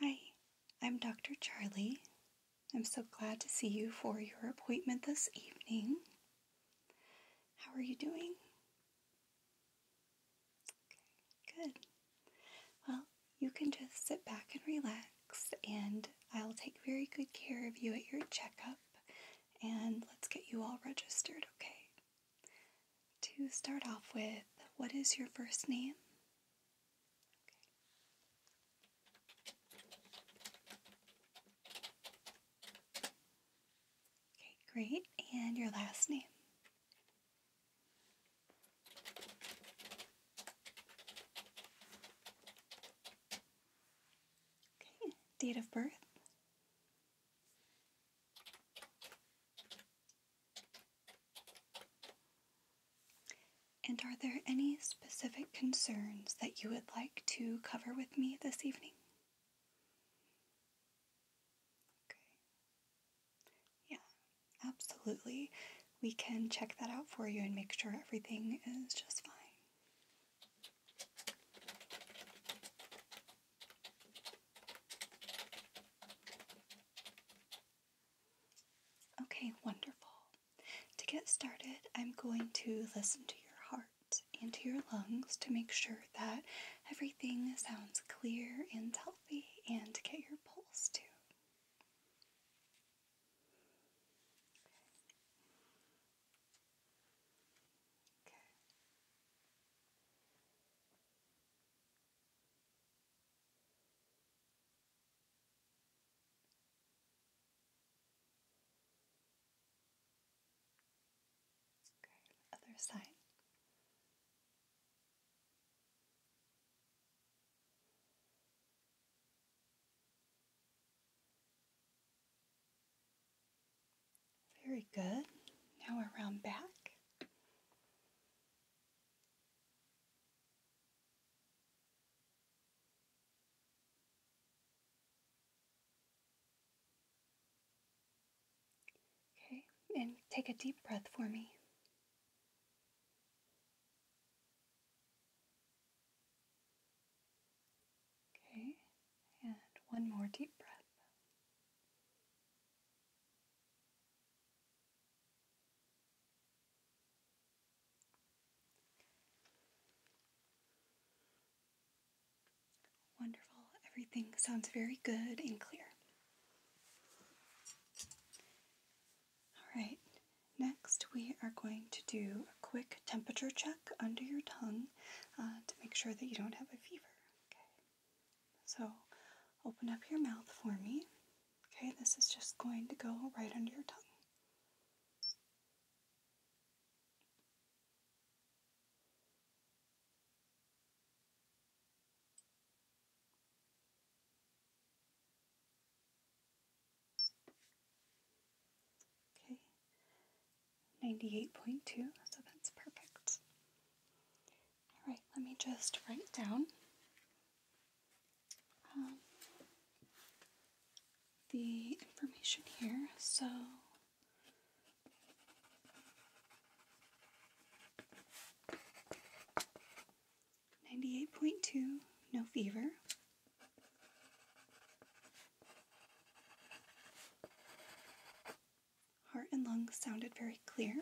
Hi, I'm Dr. Charlie. I'm so glad to see you for your appointment this evening. How are you doing? good. Well, you can just sit back and relax, and I'll take very good care of you at your checkup, and let's get you all registered, okay? To start off with, what is your first name? Okay, great. And your last name? Okay, date of birth? And are there any specific concerns that you would like to cover with me this evening? Okay. Yeah, absolutely. We can check that out for you and make sure everything is just fine. Okay, wonderful. To get started, I'm going to listen to your heart and to your lungs to make sure that everything sounds clear and healthy and to get your pulse too other side. Very good. Now around back. Okay, and take a deep breath for me. Okay, and one more deep breath. Wonderful. Everything sounds very good and clear. All right. Next, we are going to do a quick temperature check under your tongue uh, to make sure that you don't have a fever. Okay. So, open up your mouth for me. Okay, this is just going to go right under your tongue. Okay, 98.2, so that's perfect. All right, let me just write down um, the information here. So Ninety-eight point two, no fever. Heart and lungs sounded very clear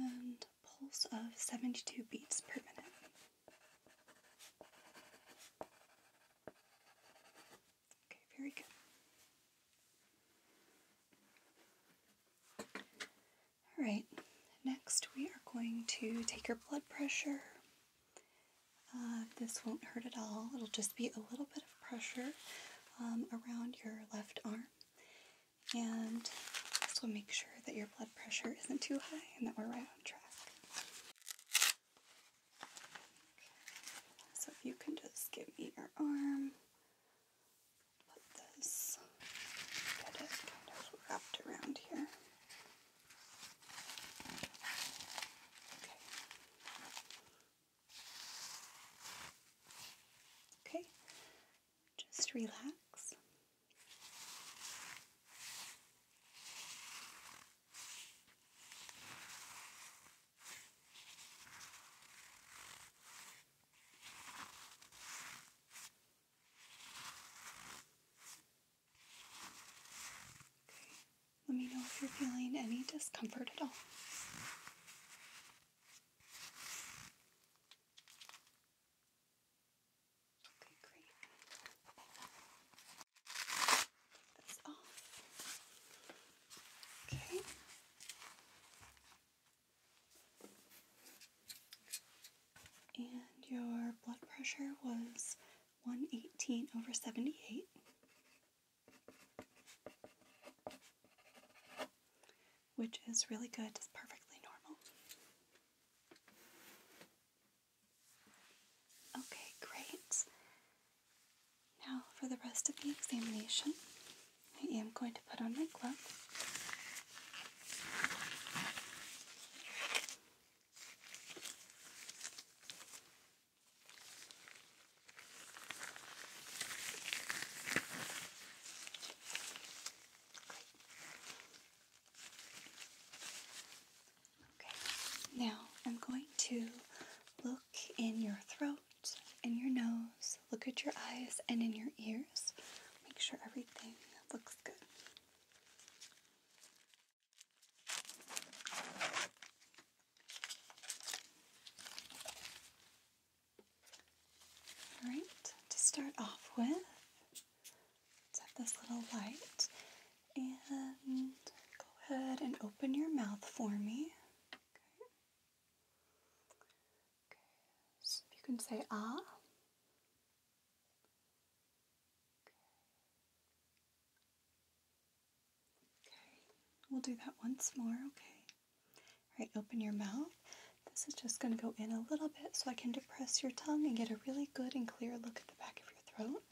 and pulse of 72 beats per minute. Okay, very good. All right, next we are going to take your blood pressure uh, this won't hurt at all. It'll just be a little bit of pressure um, around your left arm. And this will make sure that your blood pressure isn't too high and that we're right on track. So if you can just give me your arm, put this, get it kind of wrapped around here. Okay. Okay, just relax. Okay. Let me know if you're feeling any discomfort at all. Okay, great. Take off. Okay. And your blood pressure was 118 over 78 which is really good, it's perfectly normal. Okay, great. Now, for the rest of the examination, I am going to put on my gloves. Okay, now I'm going to look in your throat, in your nose, look at your eyes, and in your ears. Make sure everything looks good. All right, to start off with, let this little light and go ahead and open your mouth for me. Okay. Okay. So you can say ah. Okay, we'll do that once more, okay? All right, open your mouth. This is just going to go in a little bit so I can depress your tongue and get a really good and clear look at the back of your throat.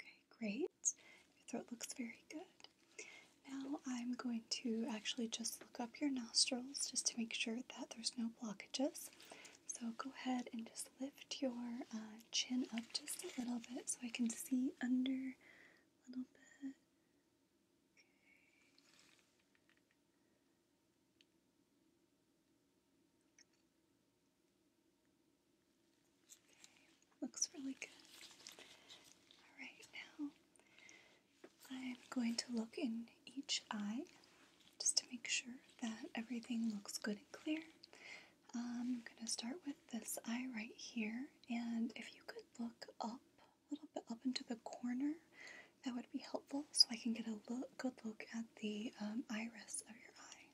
Okay, great. Your throat looks very good. Now I'm going to actually just look up your nostrils just to make sure that there's no blockages. So go ahead and just lift your uh, chin up just a little bit so I can see under a little bit. Okay. Looks really good. Alright, now I'm going to look in each eye just to make sure that everything looks good and clear. I'm going to start with this eye right here, and if you could look up a little bit up into the corner, that would be helpful so I can get a look, good look at the um, iris of your eye.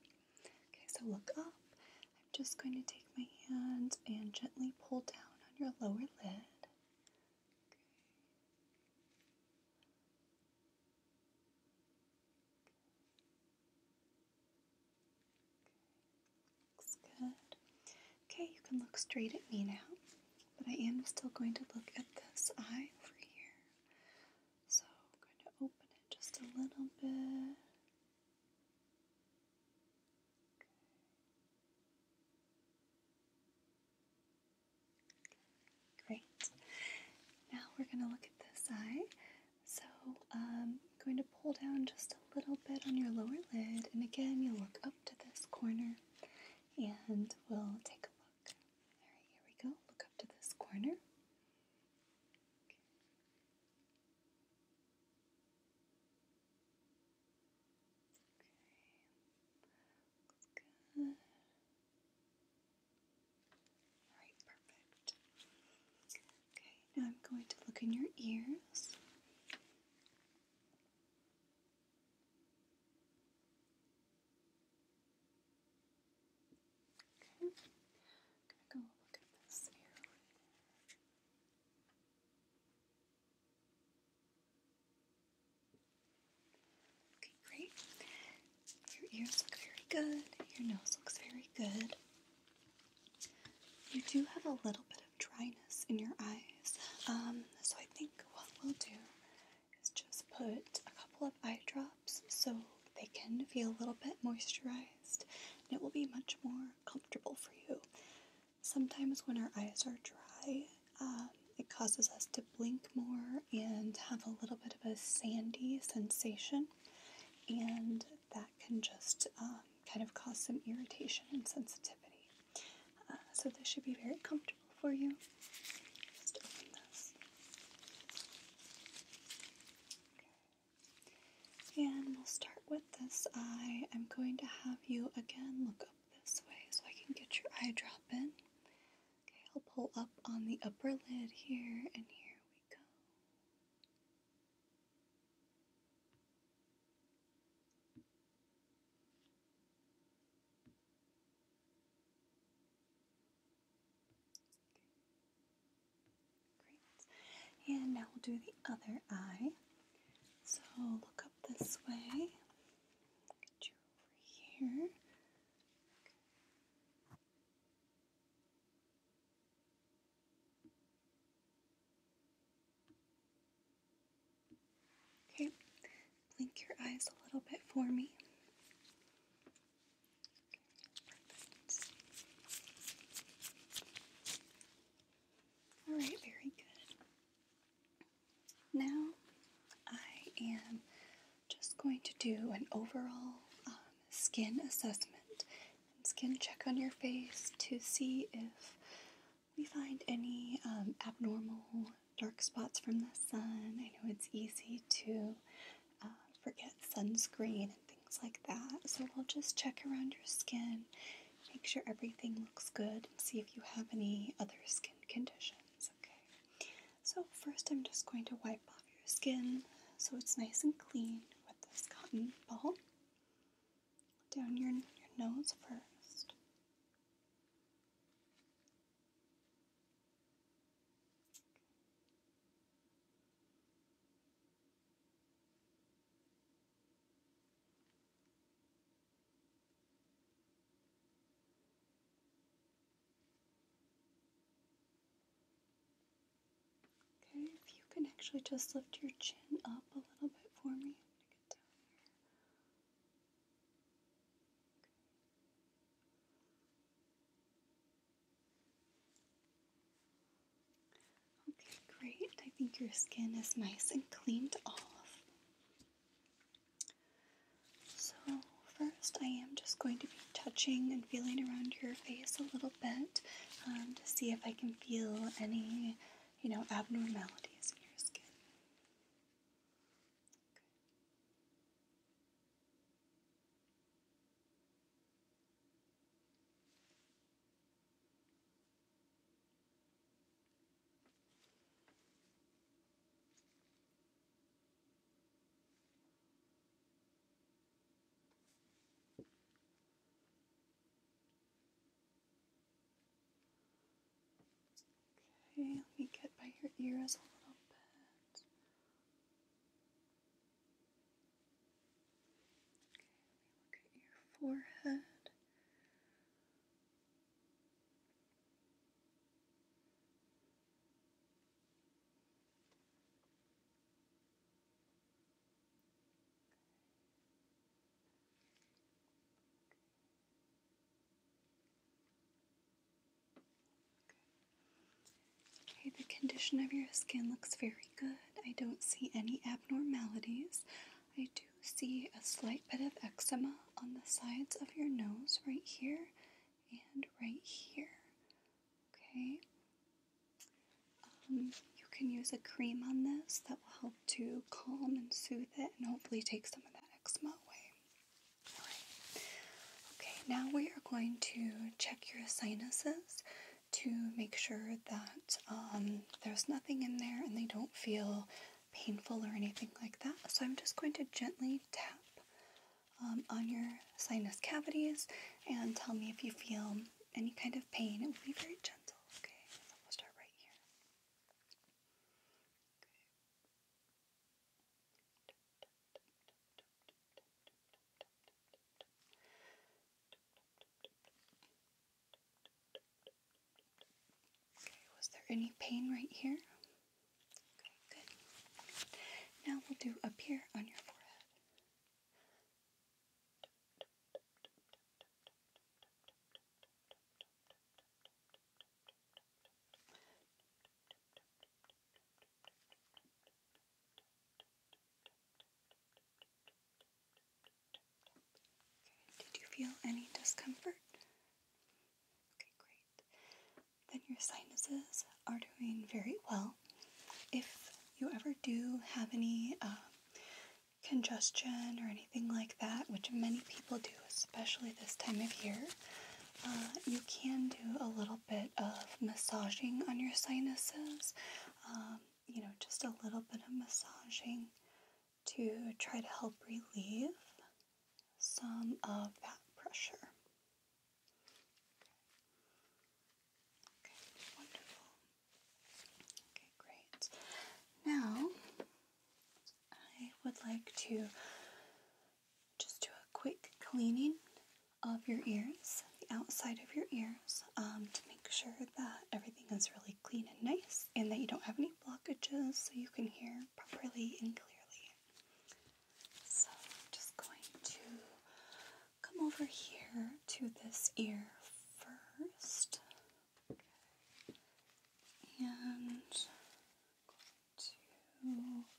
Okay, so look up. I'm just going to take my hand and gently pull down on your lower lid. Okay. Looks good. Okay, you can look straight at me now, but I am still going to look at this eye over here. So I'm going to open it just a little bit. Great. Now we're going to look at this eye. So um, I'm going to pull down just a little bit on your lower lid, and again, you'll look up to this corner and we'll take a look. All right, here we go. Look up to this corner. Okay. Looks good. Alright, perfect. Okay, now I'm going to look in your ears. Okay. I'm gonna go look at this ear Okay, great. Your ears look very good. Your nose looks very good. You do have a little bit of dryness in your eyes. Um, so I think what we'll do is just put a couple of eye drops so they can feel a little bit moisturized and it will be much more comfortable for you. Sometimes when our eyes are dry, um, it causes us to blink more and have a little bit of a sandy sensation, and that can just um, kind of cause some irritation and sensitivity. Uh, so, this should be very comfortable for you. And we'll start with this eye. I'm going to have you again look up this way so I can get your eye drop in. Okay, I'll pull up on the upper lid here, and here we go. Great. And now we'll do the other eye. So look up this way. Get you over here. Okay. blink your eyes a little bit for me. All right, very good. Now I am just going to do an overall um, skin assessment skin check on your face to see if we find any um, abnormal dark spots from the sun. I know it's easy to uh, forget sunscreen things like that. So we'll just check around your skin, make sure everything looks good, and see if you have any other skin conditions. Okay. So first, I'm just going to wipe off your skin so it's nice and clean with this cotton ball down your, your nose first. Okay, if you can actually just lift your chin up a little bit for me. Okay, great. I think your skin is nice and cleaned off. So, first, I am just going to be touching and feeling around your face a little bit um, to see if I can feel any, you know, abnormalities in your skin. Okay, let me get by your ears a little bit let me look at your forehead. Okay, the condition of your skin looks very good. I don't see any abnormalities. I do see a slight bit of eczema on the sides of your nose right here and right here. Okay. Um, you can use a cream on this that will help to calm and soothe it and hopefully take some of that eczema away. Okay, now we are going to check your sinuses to make sure that um, there's nothing in there and they don't feel painful or anything like that. So I'm just going to gently tap um, on your sinus cavities and tell me if you feel any kind of pain. It will be very gentle, okay? we'll start right here. Okay was there any pain right here? Okay, good. Now we'll do up here on your forehead did you feel any discomfort? Okay, great. Then your sinuses are doing very well. If you ever do have any um, congestion or anything like that, which many people do, especially this time of year, uh, you can do a little bit of massaging on your sinuses. Um, you know, just a little bit of massaging to try to help relieve some of that pressure. Okay, wonderful. Okay, great. Now, I would like to just do a quick cleaning of your ears, the outside of your ears, um, to make sure that everything is really clean and nice and that you don't have any blockages so you can hear properly and clearly. So, I'm just going to come over here to this ear first. And going to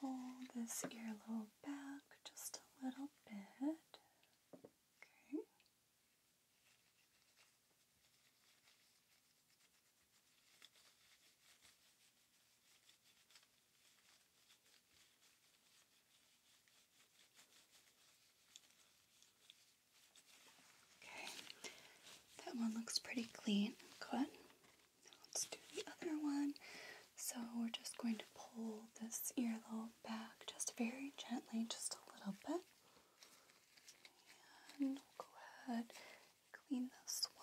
pull this ear a little back just a little bit. Okay. Okay, that one looks pretty clean. Good. let's do the other one. So we're just going to pull this earlobe just very gently, just a little bit. go ahead clean this one.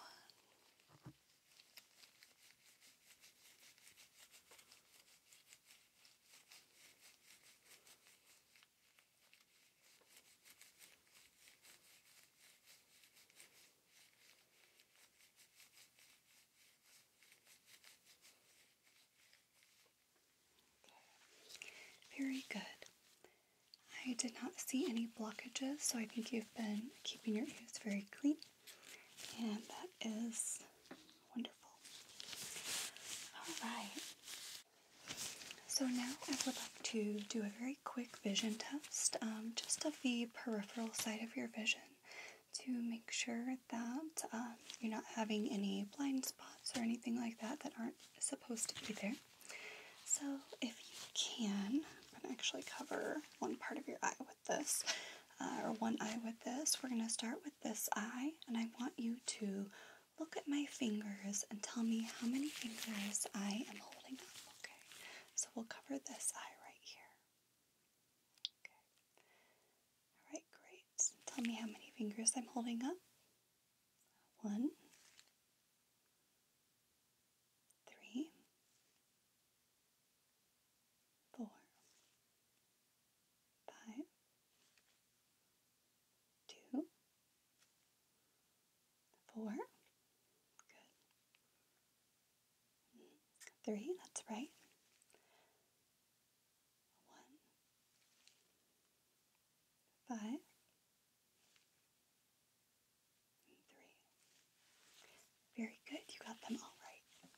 Very good. I did not see any blockages, so I think you've been keeping your ears very clean, and that is wonderful. All right. So now I would like to do a very quick vision test, um, just of the peripheral side of your vision to make sure that um, you're not having any blind spots or anything like that that aren't supposed to be there. So, if you can, I'm going to actually cover one part of your eye with this, uh, or one eye with this. We're going to start with this eye, and I want you to look at my fingers and tell me how many fingers I am holding up, okay? So, we'll cover this eye right here. Okay. All right, great. Tell me how many fingers I'm holding up. One, three, four, five, two, four. Good. Three, that's right. One, five, three. Very good, you got them all right.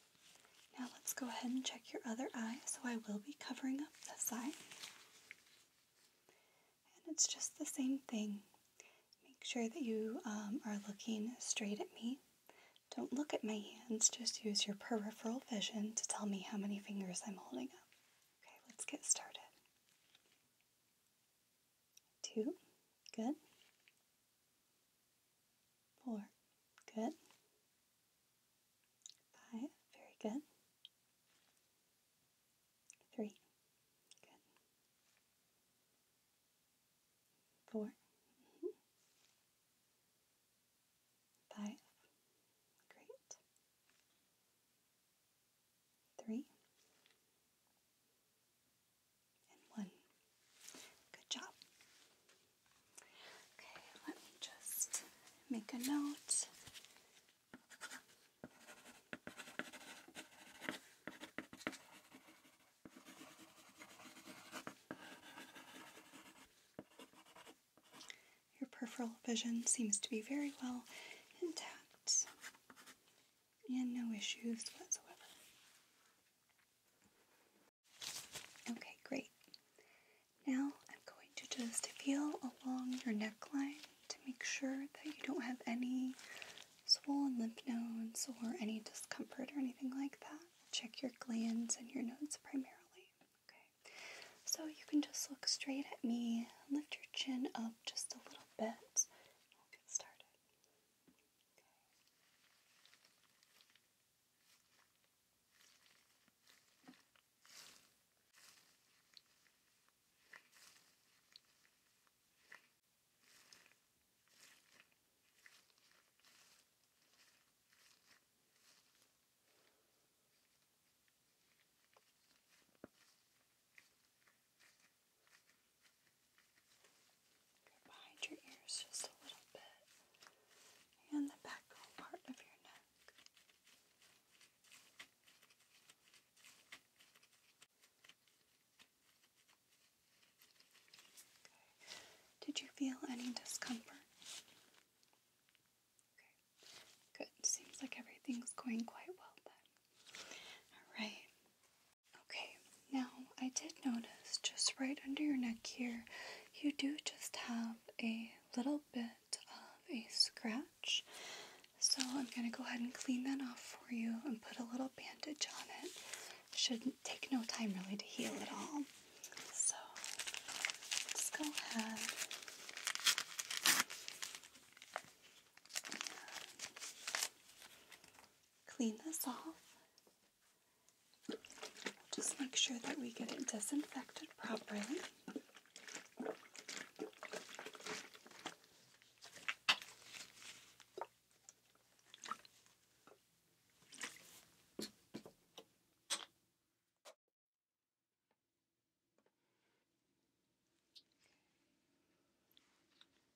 Now let's go ahead and check your other eye. So I will be covering up this eye. And it's just the same thing. Make sure that you um, are looking straight at me. Don't look at my hands, just use your peripheral vision to tell me how many fingers I'm holding up. Okay, let's get started. Two, good. Four, good. Five, very good. Three, good four, mm-hmm. five, great, three, and one. Good job. Okay, let me just make a note. Your peripheral vision seems to be very well intact and no issues whatsoever. Okay, great. Now I'm going to just feel along your neckline to make sure that you don't have any swollen lymph nodes or any discomfort or anything like that check your glands and your nodes primarily. Okay, so you can just look straight at me, lift your chin up just a little bit, we'll get started. Okay. Okay, behind your ears just a little bit, and the back part of your neck. Did you feel any discomfort? Okay. Good. Seems like everything's going quite well then. Alright. Okay. Now, I did notice just right under your neck here, you do just have a little bit of a scratch. So I'm going to go ahead and clean that off for you and put a little bandage on it. Should take no time really to heal at all. So let go ahead clean this off. Just make sure that we get it disinfected properly.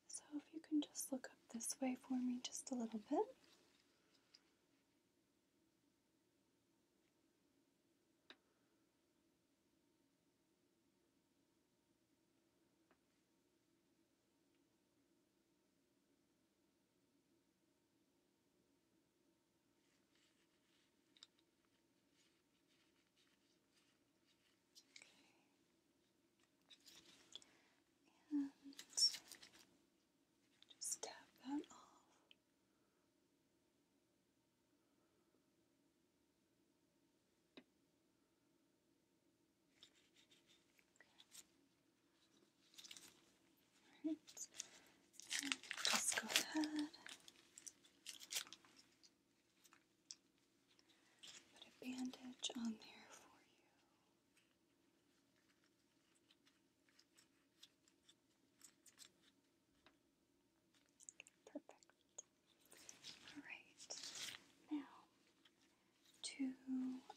So, if you can just look up this way for me just a little bit. And just tap that off. Just go ahead. Put a bandage on there for you. Perfect. All right. Now, to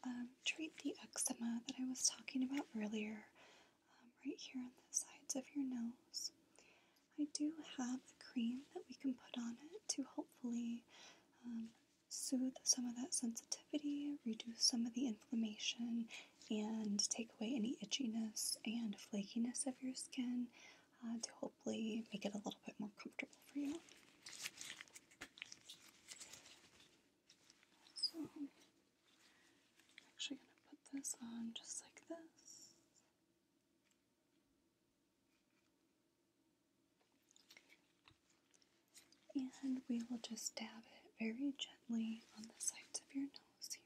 um, treat the eczema that I was talking about earlier, um, right here on the sides of your nose. I do have a cream that we can put on it to hopefully um, soothe some of that sensitivity, reduce some of the inflammation, and take away any itchiness and flakiness of your skin uh, to hopefully make it a little bit more comfortable for you. I'm actually going to put this on just like this. And we will just dab it very gently on the sides of your nose here.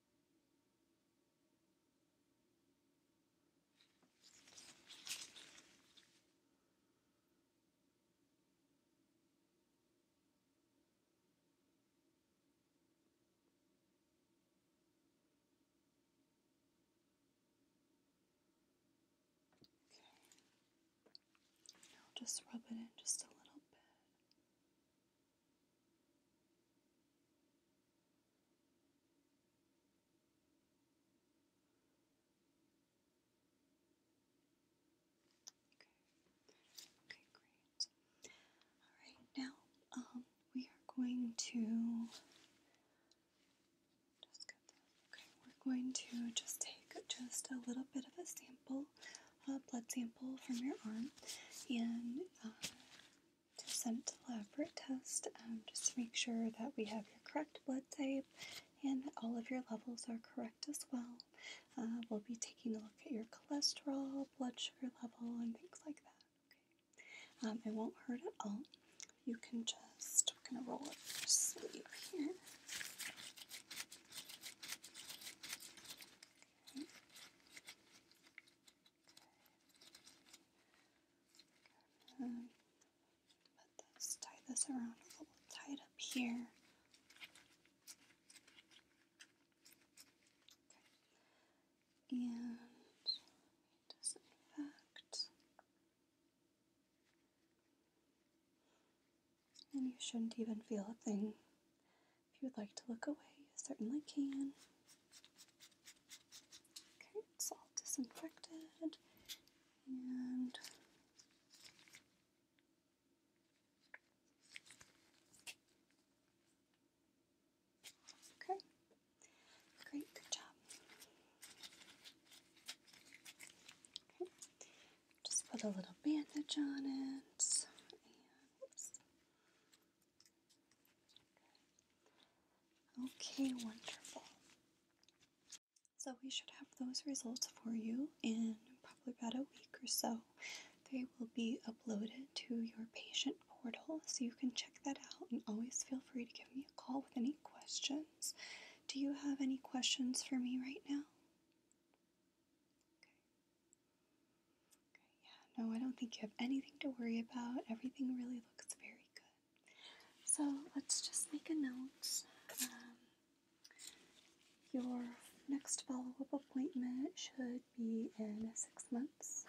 Okay. Now just rub it in just a little bit. Okay, great. Alright, now um, we are going to just get that. Okay, we're going to just take just a little bit of a sample a blood sample from your arm and uh, to send to lab for a test um, just to make sure that we have your correct blood type and all of your levels are correct as well. Uh, we'll be taking a look at your cholesterol, blood sugar level, and things like that. Um, it won't hurt at all. You can just, we're going to roll up your sleeve here let this tie this around a little up here. Okay. And disinfect. And you shouldn't even feel a thing. If you would like to look away, you certainly can. Okay, it's all disinfected and Okay. Great, good job. Okay. Just put a little bandage on it. Okay, wonderful. So we should have those results for you in probably about a week or so. They will be uploaded to your patient portal so you can check that out and always feel free to give me a call with any questions. Do you have any questions for me right now? yeah, no, I don't think you have anything to worry about. Everything really looks very good. So let's just make a note. Um, your next follow up appointment should be in six months.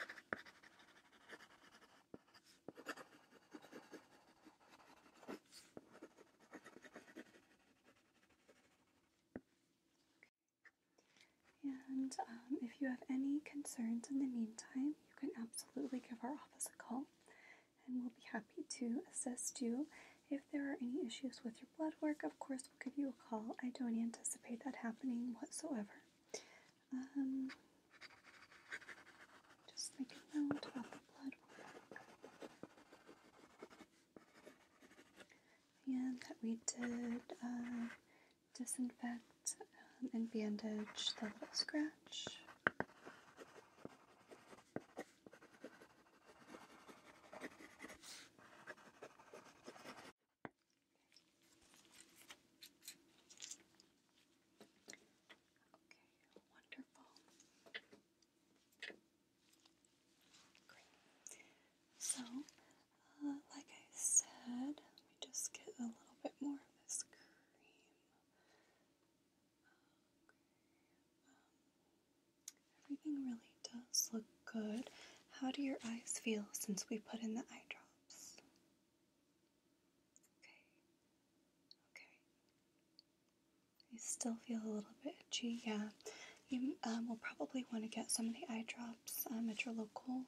And um, if you have any concerns in the meantime, you can absolutely give our office a call and we'll be happy to assist you. If there are any issues with your blood work, of course, we'll give you a call. I don't anticipate that happening whatsoever. Um, just make note about the blood work and that we did uh, disinfect um, and bandage the little scratch. Okay, wonderful. Great. So, uh, like I said, let me just get a little bit more of this cream. Um, everything really does look good. How do your eyes feel since we put in the eyedrops? Okay. Okay. You still feel a little bit itchy, yeah. You um, will probably want to get some of the eye drops um, at your local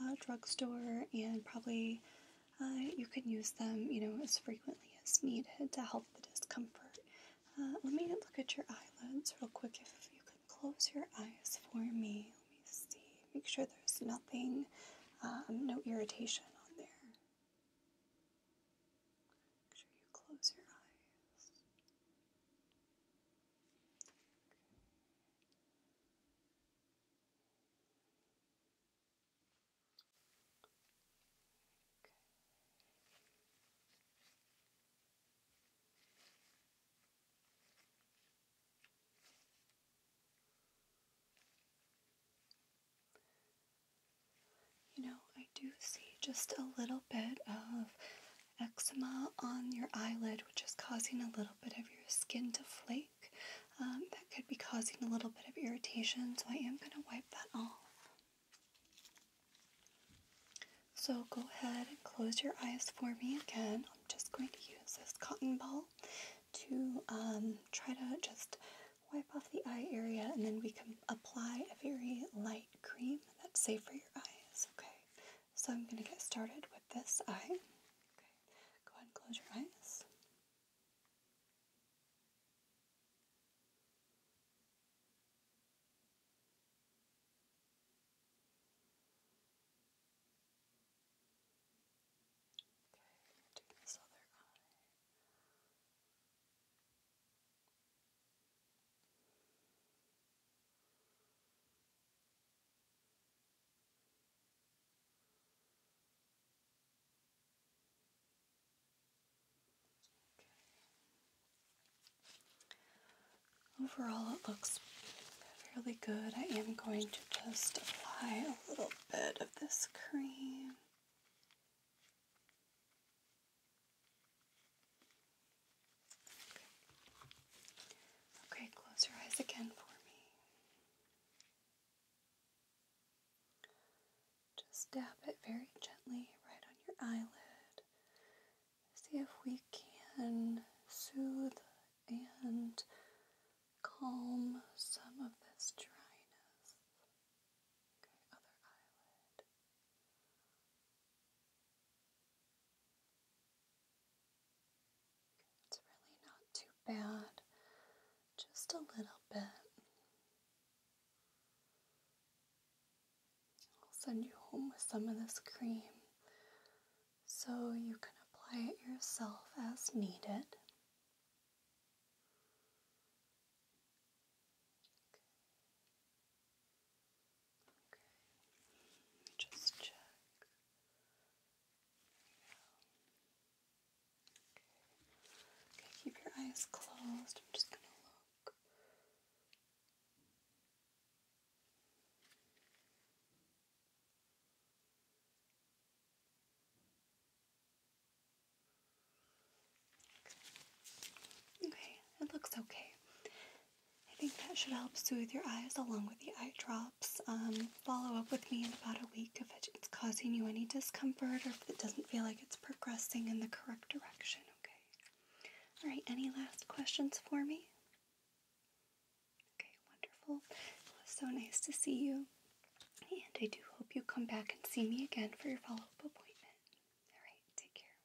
uh, drugstore, and probably uh, you can use them, you know, as frequently as needed to help the discomfort. Uh, let me look at your eyelids real quick. If you could close your eyes for me, let me see. Make sure there's nothing, um, no irritation on there. Make sure you close your eyes. You know, I do see just a little bit of eczema on your eyelid, which is causing a little bit of your skin to flake. Um, that could be causing a little bit of irritation, so I am going to wipe that off. So go ahead and close your eyes for me again. I'm just going to use this cotton ball to um, try to just wipe off the eye area and then we can apply a very light cream that's safe for your eyes, okay? So I'm going to get started with this eye. go ahead and close your eyes. Okay, do this other eye. Overall, it looks fairly good. I am going to just apply a little bit of this cream Okay. close your eyes again for me. Just dab it very gently right on your eyelid. See if we can soothe and calm some of this dryness. Okay, other eyelid. It's really not too bad, just a little bit. I'll send you home with some of this cream so you can apply it yourself as needed. Okay, just check. Okay. okay, keep your eyes closed. I'm just going to look. Okay, it looks okay. I think that should help soothe your eyes along with the eye drops. Um, follow up with me in about a week if it's causing you any discomfort or if it doesn't feel like it's progressing in the correct direction, okay? All right, any last questions for me? Okay, wonderful. It was so nice to see you. And I do hope you come back and see me again for your follow up appointment. All right, take care.